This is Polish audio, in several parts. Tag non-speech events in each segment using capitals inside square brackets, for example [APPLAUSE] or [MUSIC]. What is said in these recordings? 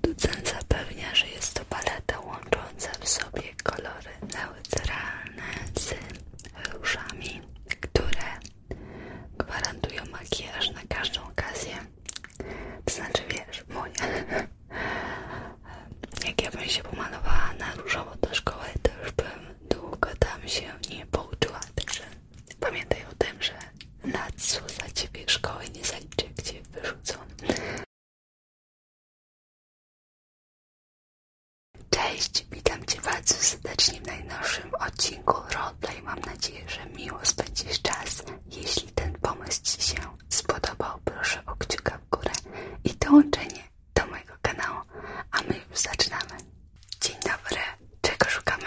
Producent zapewnia, że jest to paleta łącząca w sobie kolory neutralne z różami, które gwarantują makijaż na każdą okazję. To znaczy, wiesz, moja. [LAUGHS] Jak ja bym się pomalowała na różowo do szkoły, to już bym długo tam się nie pouczyła. Także pamiętaj o tym, że na co za ciebie szkoły nie zaliczę, gdzie wyrzucą. Cześć, witam Cię bardzo serdecznie w najnowszym odcinku Roleplay. Mam nadzieję, że miło spędzisz czas. Jeśli ten pomysł Ci się spodobał, proszę o kciuka w górę i dołączenie do mojego kanału. A my już zaczynamy. Dzień dobry, czego szukamy?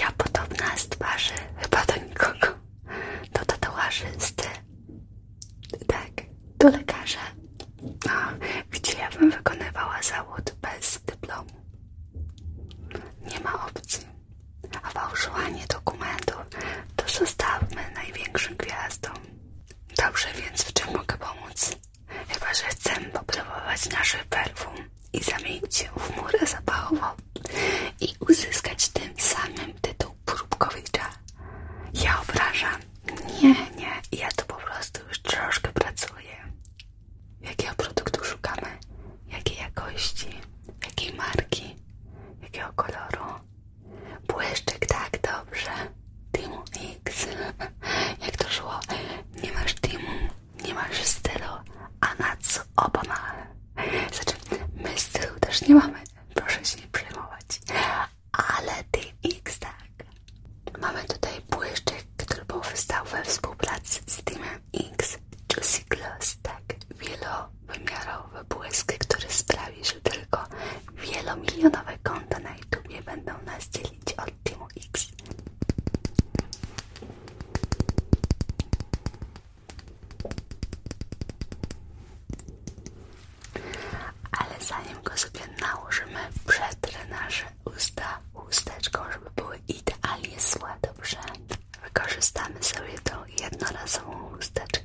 ja podobna z twarzy chyba do nikogo. to tatuażysty. Tak, do lekarza. A, gdzie ja bym wykonywała zawód bez dyplomu? Nie ma opcji. A fałszowanie dokumentów to zostawmy największym gwiazdom. Dobrze, więc w czym mogę pomóc? Chyba, że chcę popróbować nasz perfum i zamienić się w murę zapałową i uzyskać tym samym tytuł próbkowicza. Ja obrażam. Nie, nie, ja tu po prostu już troszkę pracuję. Jakiego produktu szukamy? Jakiej jakości? Jakiej marki? Jakiego koloru? Błyszczyk, tak, dobrze. Timu X. [LAUGHS] Jak to szło? Nie masz Timu? nie masz stylu, a na co oba ma. Znaczy, my stylu też nie mamy, proszę się nie przejmować. Ale Team X tak. Mamy tutaj błyszczyk, który powstał we współpracy z Teamem X. Juicy Gloss, tak, wielowymiarowy błysk, który sprawi, że tylko wielomilionowe konta na YouTube nie będą nas dzielić od Timo X. Ale zanim go sobie nałożymy, przetrę nasze usta chusteczką, żeby były idealnie złe, dobrze? Wykorzystamy sobie tą jednorazową chusteczkę.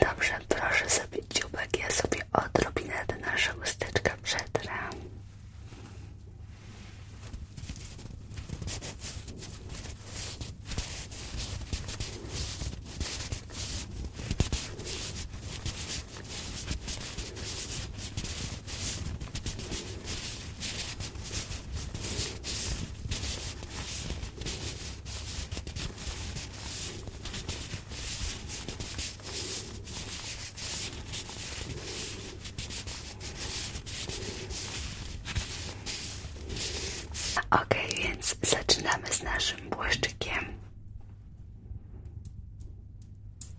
Dobrze, proszę sobie dziubek, ja sobie odrobinę do nasza usteczka przetrę. Ok, więc zaczynamy z naszym błyszczykiem.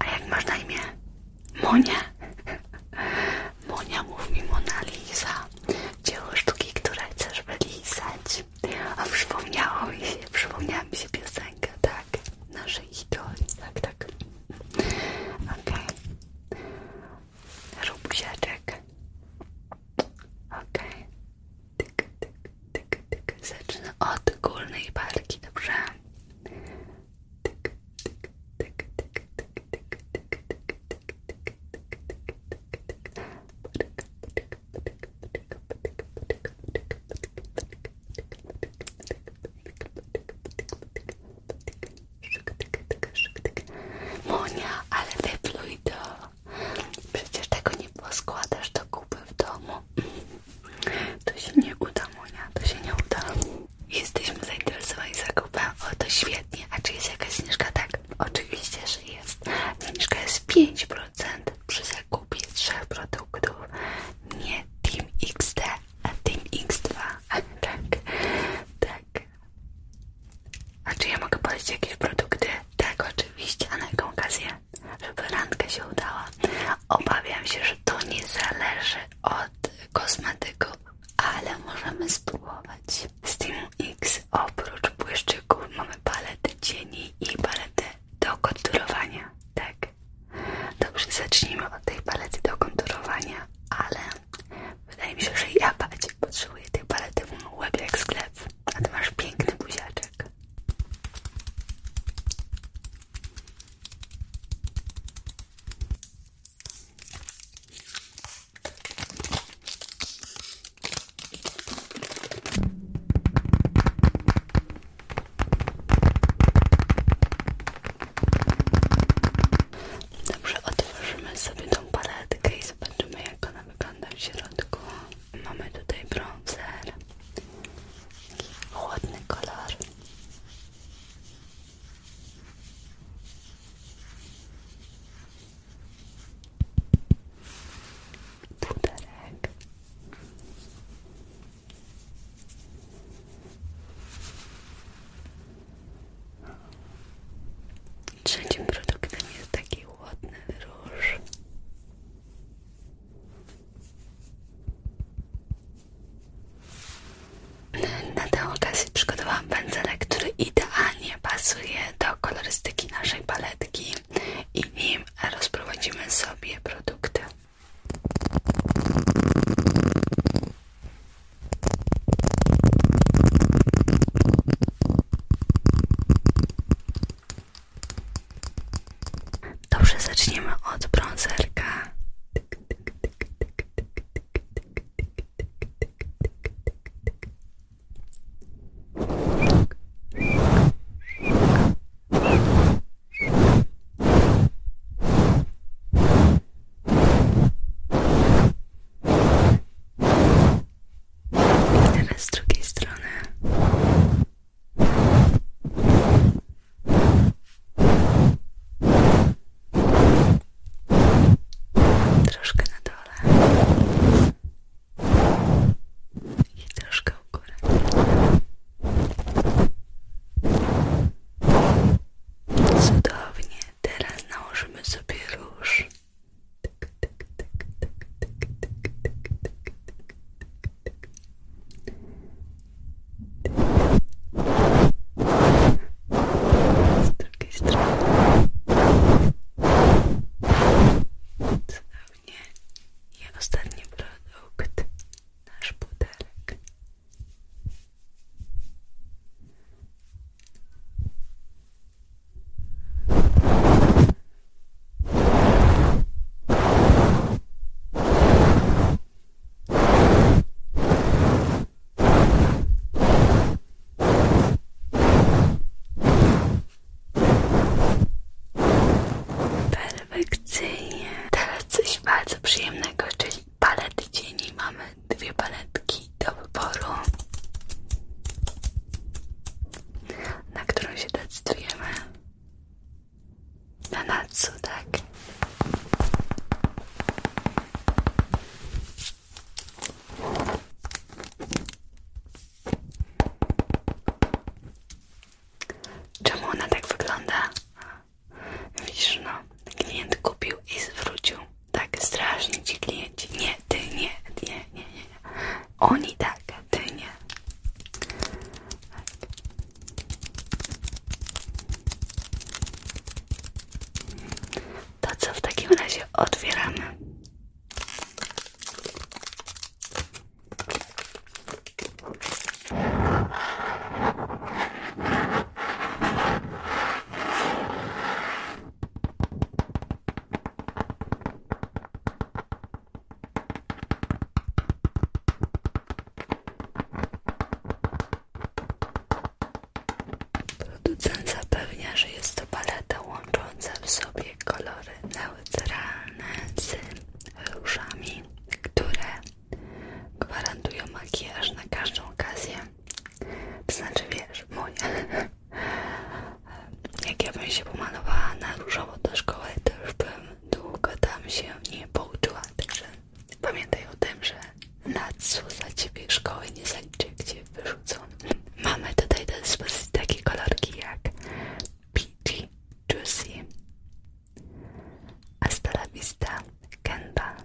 A jak masz na imię? Monia? Monia, mówi Monalisa, Mona Dzieło sztuki, które chcesz wylizać. A przypomniało się, przypomniała mi się piosenka, tak? Naszej idoli, tak, tak. Okej. Okay. Rób buziaczek. Okej. Okay. Tyk, tyk, tyk, tyk. od górnej barki, dobrze? tick, tick, Monia, ale wypluj to. Przecież tego nie poskładasz do kupy w domu. To się nie uda, Monia, to się nie uda. Jesteśmy zainteresowani zakupem, o to świetnie. A czy jest jakaś zniżka? Tak, oczywiście, że jest. Zniżka jest 5% przy zakupie trzech produktów. Nie Team XD, a Team X2. tak, tak. A czy ja mogę polecić jakieś produkty? Tak, oczywiście. A na jaką okazję? żeby randka się udała. Obawiam się, że to nie zależy od kosmetyków, ale możemy spróbować. Z Teamu X oprócz błyszczyków mamy palety cieni i palety do konturowania. Tak. Dobrze, zacznijmy od tej palety do konturowania, ale wydaje mi się, że ja bardziej potrzebuję tej palety w łeb jak sklep, a ty masz piękny buziaczek kawałek. Dobrze, otworzymy sobie tą paletkę i zobaczymy jak ona wygląda w środku. Mamy tutaj bronzer, taki chłodny kolor. Puderek. Trzecim produktem jest taki ładny róż. Na tę okazję przygotowałam pędzelek, który idealnie pasuje do kolorystyki naszej paletki i nim rozprowadzimy sobie produkty. Dobrze, zaczniemy od bronzerka. I teraz z drugiej strony. Troszkę na dole i troszkę u góry. Cudownie, teraz nałożymy sobie róż. Z drugiej strony cudownie i ostatni produkt nasz butelek Perfekcyjnie. Teraz coś bardzo przyjemnego, czyli palety cieni. Mamy dwie paletki do wyboru na którą się decydujemy. Na Natsu, tak? Czemu ona tak wygląda? Widzisz, no, klient kupił i zwrócił. Tak, strasznie ci klienci. Nie, ty nie, nie, nie, nie. Oni tak, nie. To co w takim razie otwieramy? Producent zapewnia, że jest to paleta łącząca w sobie kolory neutralne z różami, które gwarantują makijaż na każdą okazję. To znaczy, wiesz, mój. Jak ja bym się pomalowała na różowo do szkoły, to już bym długo tam się nie pouczyła. Także pamiętaj o tym, że na co za ciebie szkoły nie zaliczy, gdzie wyrzucą. Mamy tutaj do dyspozycji takie kolorki jak Peachy, Juicy, Hasta la Vista, Kenda,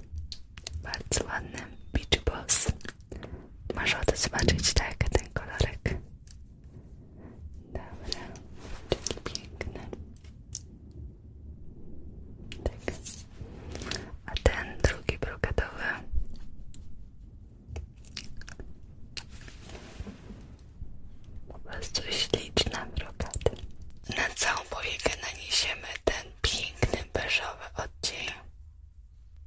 bardzo ładny Beach Boss. Masz ochotę zobaczyć tak, ten kolorek. Dobra, taki piękny. Tak. A ten drugi brokatowy. Po prostu śliczna brokaty. Na całą powiekę naniesiemy ten piękny beżowy odcień.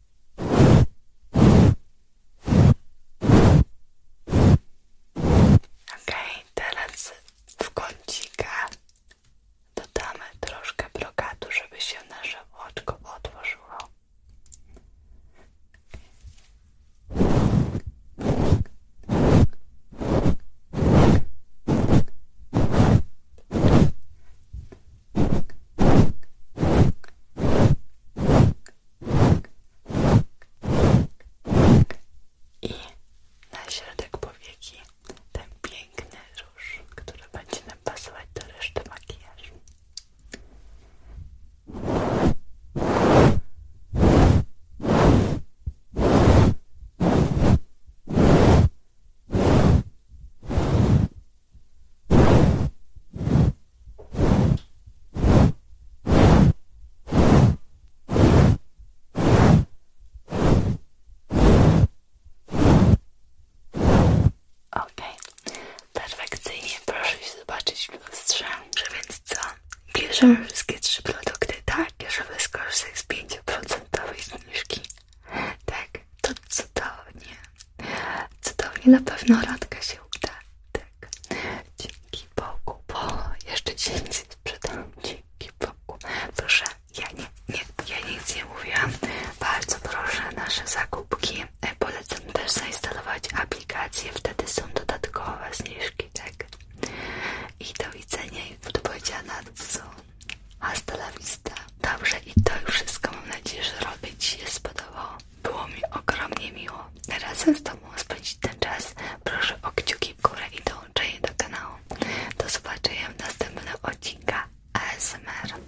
Okej, okay, teraz w kącika dodamy troszkę brokatu, żeby się nasze oczko otworzyło. I na środek powieki ten piękny róż, który będzie nam pasować do reszty makijażu. Ok, perfekcyjnie proszę zobaczyć w lustrze. więc co? Bierzemy wszystkie trzy produkty tak, żeby skorzystać z 5% zniżki. Tak, to cudownie. Cudownie, na pewno Radka się uda. Tak. Dzięki Bogu, bo jeszcze dzień się sprzedam. Dzięki Bogu. Proszę, ja nie, nie, ja nic nie mówiłam. Bardzo proszę nasze zakupki. E, polecam też zainstalować aplikacje, wtedy są dodatkowe zniżki, tak? I do widzenia i do powiedziana, co? Hasta la vista. Dobrze i to już wszystko mam nadzieję, że robię Ci się spodobało. Było mi ogromnie miło razem z Tobą spędzić ten czas. Proszę o kciuki w górę i dołączenie do kanału. Do zobaczenia w następnym odcinku ASMR.